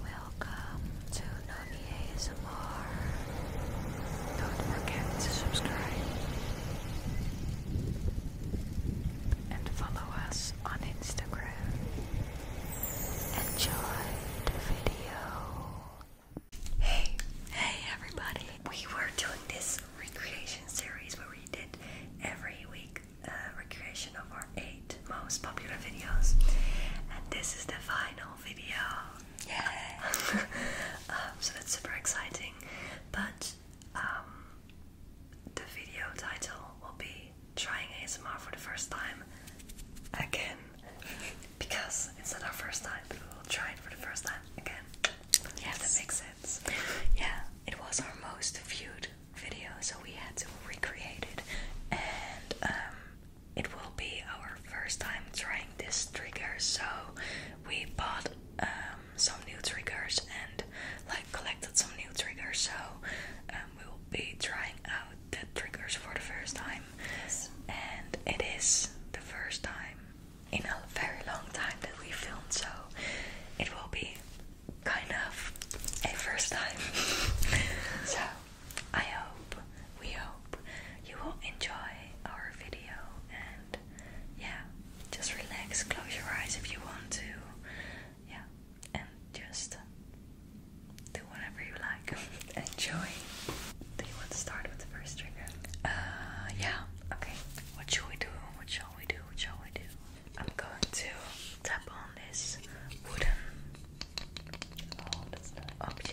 Welcome to Nani ASMR. Don't forget to subscribe and follow us on Instagram. Enjoy the video. Hey, hey everybody! We were doing this recreation series where we did every week uh, recreation of our eight most popular videos, and this is the final video. Yeah. Um, so that's super exciting, but um, the video title will be "Trying ASMR for the first time again," because it's not our first time, but we will try it for the first time again. Yeah, that makes sense. Yeah, it was our most viewed video, so we had to recreate it. And um, it will be our first time trying this trigger, so we bought um, some new triggers and like collected some new triggers. So um, we will be trying out the triggers for the first time, and it is the first time in a very long time that we filmed. So it will be kind of a first time. so I hope, we hope you will enjoy our video and yeah, just relax, close your eyes if you want to. Yeah, and just do whatever you like. Enjoy. Do you want to start with the first trigger? Uh, yeah. Okay. What shall we do? What shall we do? What shall we do? I'm going to tap on this wooden object.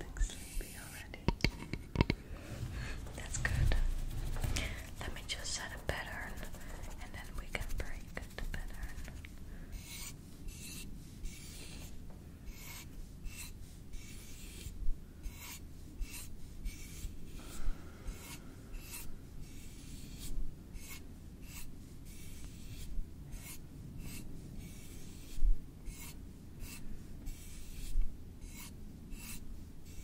I'm sleepy already. That's good. Let me just set a pattern and then we can break good pattern.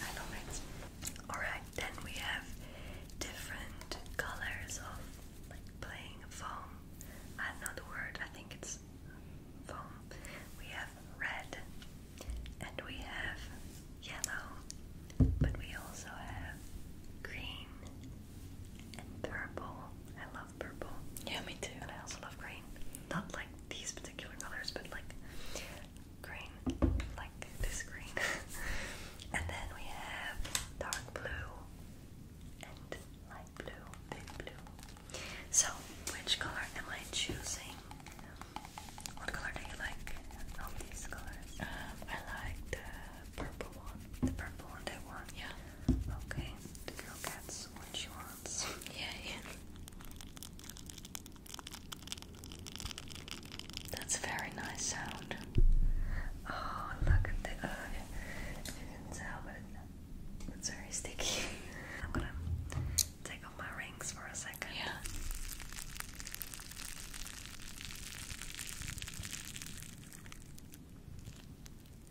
I love it. Alright, then we have different colors of like playing foam. I uh, know the word, I think it's foam. We have red and we have yellow, but we also have green and purple purple. Yeah, me too. And I also love green. Not like these particular colors, but like green, like this green. and then we have dark blue and light blue, thin blue. So, which color am I choosing? What color do you like of these colors? Um, I like the purple one. The purple one, that one? Yeah. Okay. The girl gets what she wants. Yeah, That's a very nice sound. Oh, look at the. you can tell, but it's very sticky. I'm gonna take off my rings for a second. Yeah.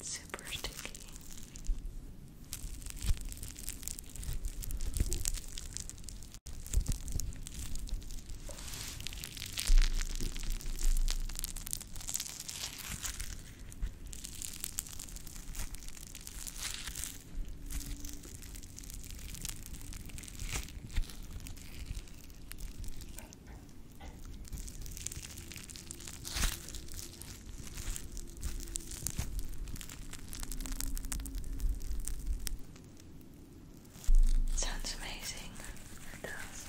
super sticky. Sounds amazing. It does.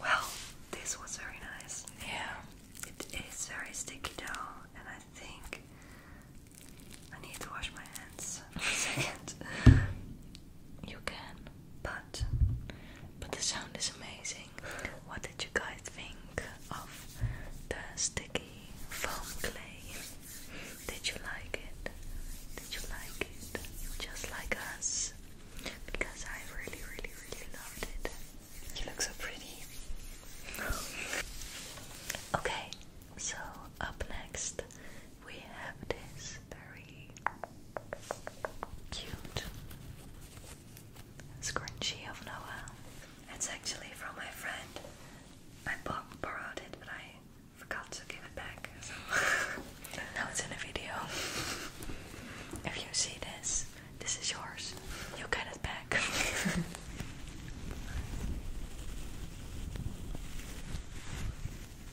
Well, this was very nice. Yeah. It is very sticky dough, and I think I need to wash my hands for a second. you can, but but the sound is amazing. What did you guys think of the sticky foam clay? Did you like it? Did you like it? Just like us? Because I really, really, really loved it. You look so pretty. okay, so up next we have this very cute scrunchie of Noah. It's actually from my friend. I borrowed it, but I forgot to give it back. now it's in a video. If you see this, this is yours. You get it back.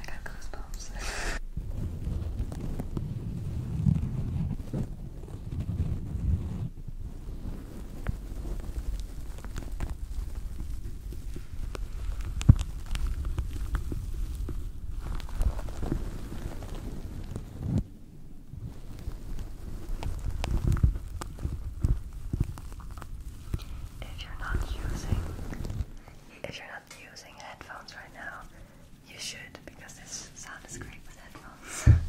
I got goosebumps. if you're not using if you're not using headphones right now, you should because this sound is great with headphones.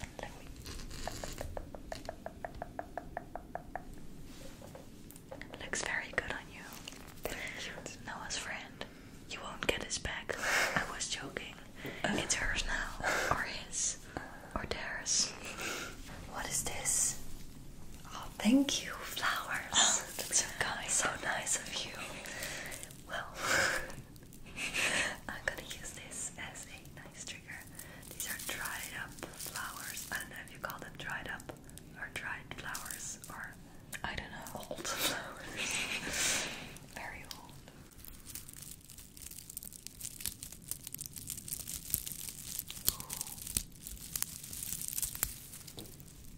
Let Looks very good on you. Noah's friend. You won't get his back. I was joking. It's hers now. Or his. Or theirs. What is this? Oh, thank you, flowers. Oh, so nice of you. Well, I'm gonna use this as a nice trigger. These are dried up flowers. I don't know if you call them dried up or dried flowers or I don't know. Old flowers. Very old.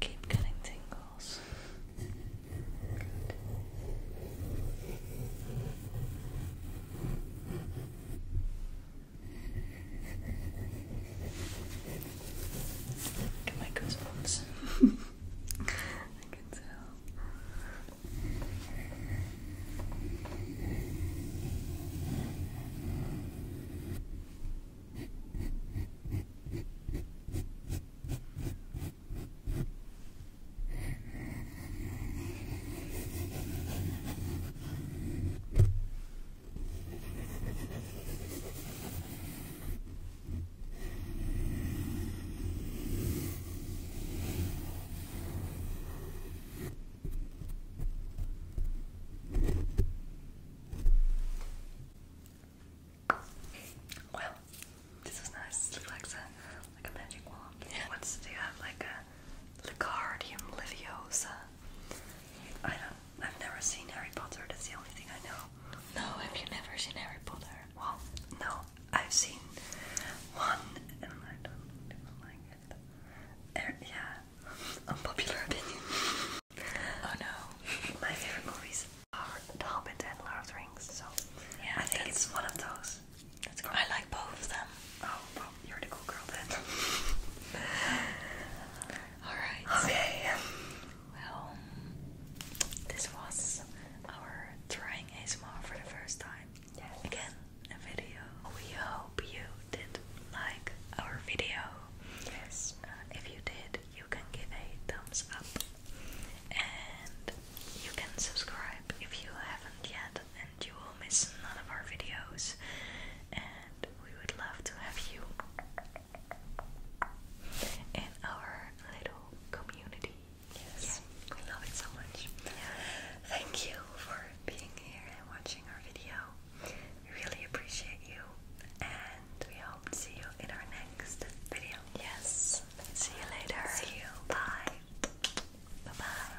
Keep getting tingles. Look at my goosebumps. I can tell. Well, this was nice. It like a, like a magic wand. Yeah. What's do you have like a Licardium Liviosa? I don't I've never seen Harry Potter, that's the only thing I know. No, have you never seen Harry Potter? Well, no, I've seen one and I don't even like it. Er, yeah, unpopular opinion. oh no. My favorite movies are The Hobbit and Lord of the Rings, so yeah, I think it's one of those. I like both of them. Oh, you're a cool girl then. Alright. Okay. Well, this was our trying ASMR for the first time. Yes. Again, a video. We hope you did like our video. Yes. Uh, if you did, you can give a thumbs up. And you can subscribe if you haven't yet, and you will miss none of our videos we would love to have you in our little community. Yes, we love it so much. Thank you for being here and watching our video. We really appreciate you, and we hope to see you in our next video. Yes, see you later. See you. Bye. Bye bye.